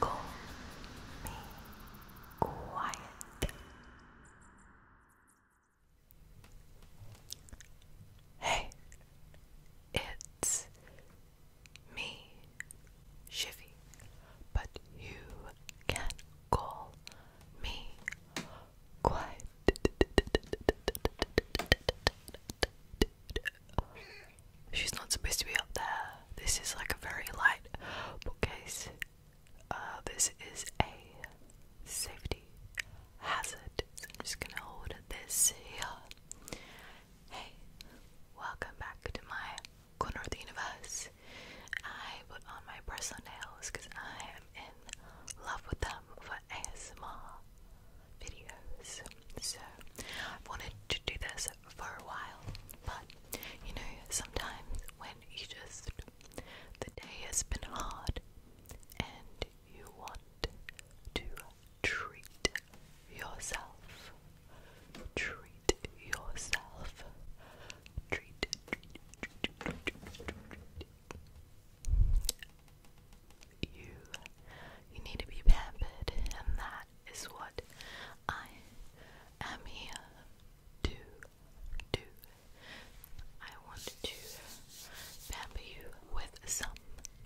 Call me quiet. Hey, it's me, Shivy, but you can call me quiet she's not supposed to be up there. This is like a very light bookcase. Uh, this is a safety hazard. I'm just gonna hold this here. Hey, welcome back to my corner of universe. I put on my press nails because I am in love with them ASMR videos. So I've wanted to do this for a while, but you know, sometimes when you just the day has been hard and you want to treat yourself, treat yourself, treat, you you need to be pampered and that is what I am here to do. I want to pamper you with some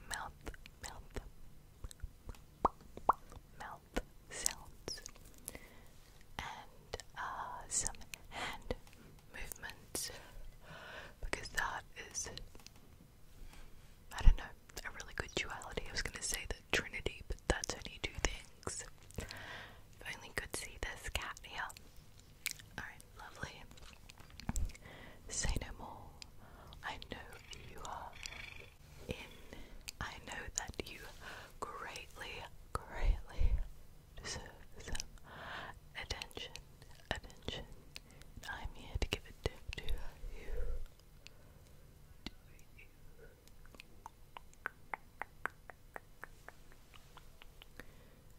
mouth mouth mouth sounds and uh, some hand movements because that is I don't know, a really good duality. I was gonna say the Trinity, but that's only two things. If could see this cat here. Alright, lovely. Say no more. I know you are in. I know that you greatly, greatly deserve some attention, attention, I'm here to give a tip To you.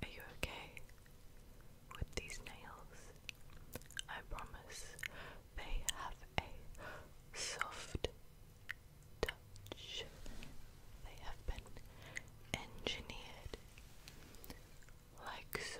Are you okay with these nails? I promise they have a soft touch. They have been engineered like so.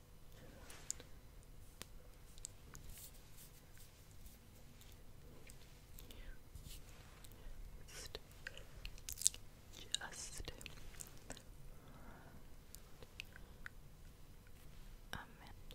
Just, just a minute.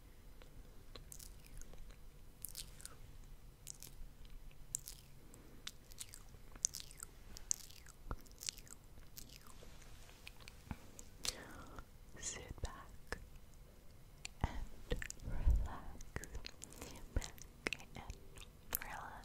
Sit back and relax. Sit back and relax. Relax.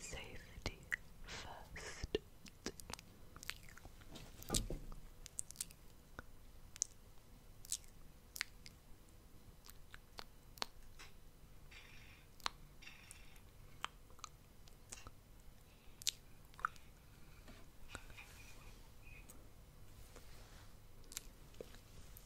Safety first.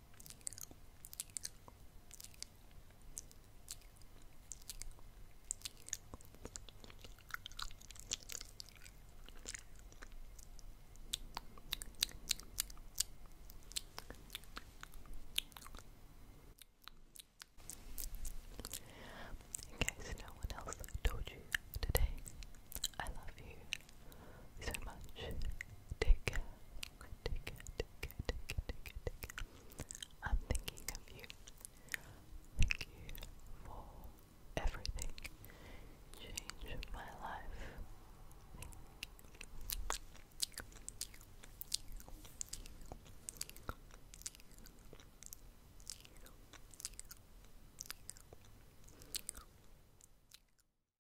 In no one else told you today, I love you so much. Take care. I'm thinking of you. Thank you for everything. Changed my life. Thank you.